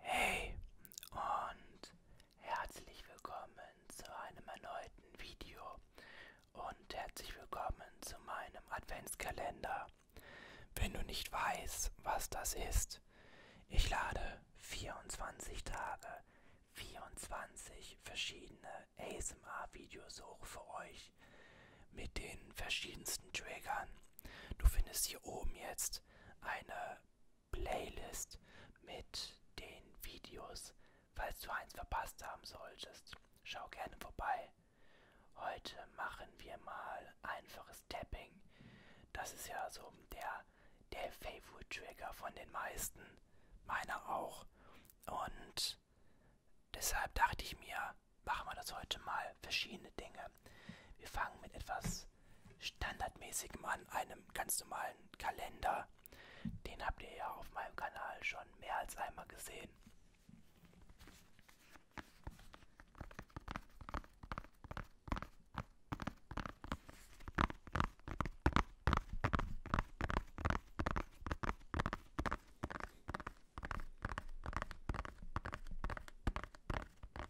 Hey und herzlich willkommen zu einem erneuten Video und herzlich willkommen zu meinem Adventskalender. Wenn du nicht weißt, was das ist, ich lade 24 Tage 24 verschiedene ASMR-Videos hoch für euch mit den verschiedensten Triggern. Du findest hier oben jetzt eine Playlist mit den Videos, falls du eins verpasst haben solltest. Schau gerne vorbei. Heute machen wir mal einfaches Tapping. Das ist ja so der, der Favorite Trigger von den meisten. Meiner auch. Und deshalb dachte ich mir, machen wir das heute mal. Verschiedene Dinge. Wir fangen mit etwas standardmäßigem an, einem ganz normalen Kalender. Den habt ihr ja auf meinem Kanal schon mehr als einmal gesehen.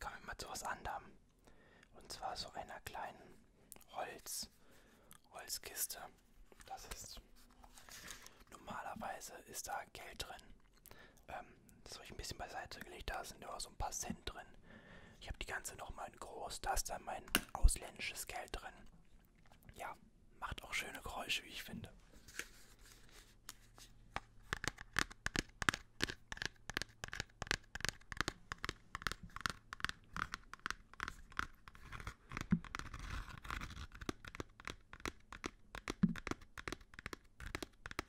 Kommen wir mal zu was anderem. Und zwar so einer kleinen Holz, Holzkiste. Das ist. Normalerweise ist da Geld drin. Ähm, das habe ich ein bisschen beiseite gelegt. Da sind immer so ein paar Cent drin. Ich habe die ganze nochmal in groß. Da ist dann mein ausländisches Geld drin. Ja, macht auch schöne Geräusche, wie ich finde.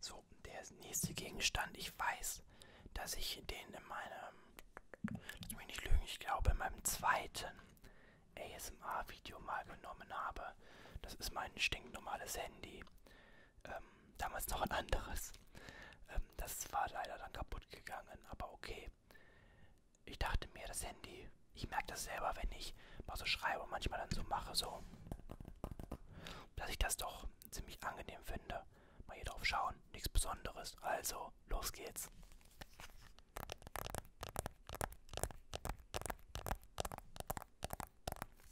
So, der nächste Gegenstand, ich weiß, dass ich den in meinem lass mich nicht lügen, ich glaube in meinem zweiten ASMR-Video mal genommen habe. Das ist mein stinknormales Handy. Ähm, damals noch ein anderes. Ähm, das war leider dann kaputt gegangen, aber okay. Ich dachte mir, das Handy, ich merke das selber, wenn ich mal so schreibe und manchmal dann so mache, so, dass ich das doch ziemlich angenehm finde. Mal hier drauf schauen, nichts Besonderes. Also, los geht's.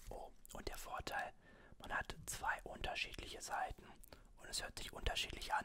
Oh, und der Vorteil, man hat zwei unterschiedliche Seiten und es hört sich unterschiedlich an.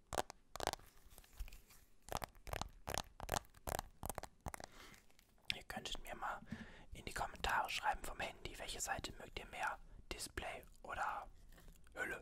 Ihr könntet mir mal in die Kommentare schreiben vom Handy, welche Seite mögt ihr mehr? Display oder Hülle?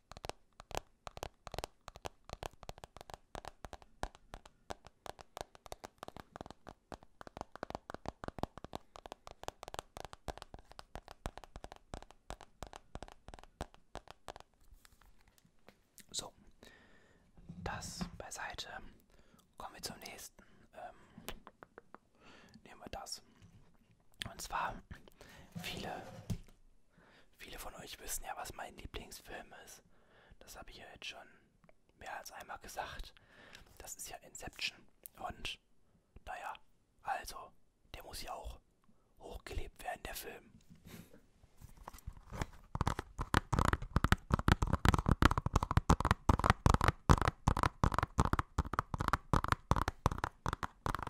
So, das beiseite. Kommen wir zum nächsten. Ähm, nehmen wir das. Und zwar, viele, viele von euch wissen ja, was mein Lieblingsfilm ist. Das habe ich ja jetzt schon mehr als einmal gesagt. Das ist ja Inception. Und, naja, also, der muss ja auch hochgelebt werden, der Film.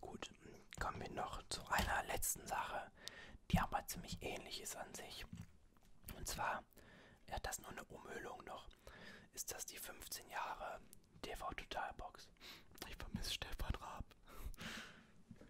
Gut, kommen wir noch zu einer letzten Sache, die aber ziemlich ähnlich ist an sich. Und zwar, er hat das nur eine Umhüllung noch, ist das die 15 Jahre TV Totalbox. Ich vermisse Stefan Raab.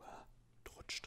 Uah, rutscht.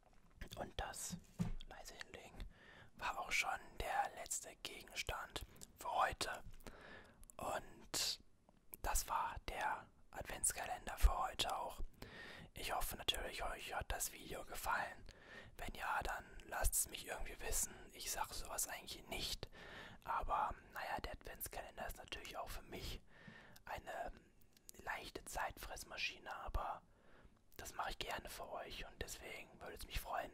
Und das, leise hinlegen, war auch schon der letzte Gegenstand für heute. Und das war der Adventskalender für heute auch. Ich hoffe natürlich, euch hat das Video gefallen. Wenn ja, dann lasst es mich irgendwie wissen. Ich sage sowas eigentlich nicht. Aber naja, der Adventskalender ist natürlich auch für mich eine leichte Zeitfressmaschine, aber das mache ich gerne für euch und deswegen würde es mich freuen,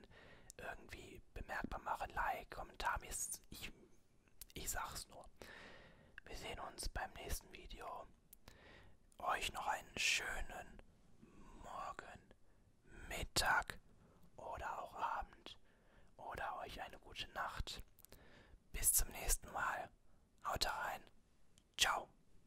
irgendwie bemerkbar machen, Like, Kommentar, ich, ich sag's nur. Wir sehen uns beim nächsten Video. Euch noch einen schönen Morgen, Mittag oder auch Abend oder euch eine gute Nacht. Bis zum nächsten Mal. Haut rein. Ciao.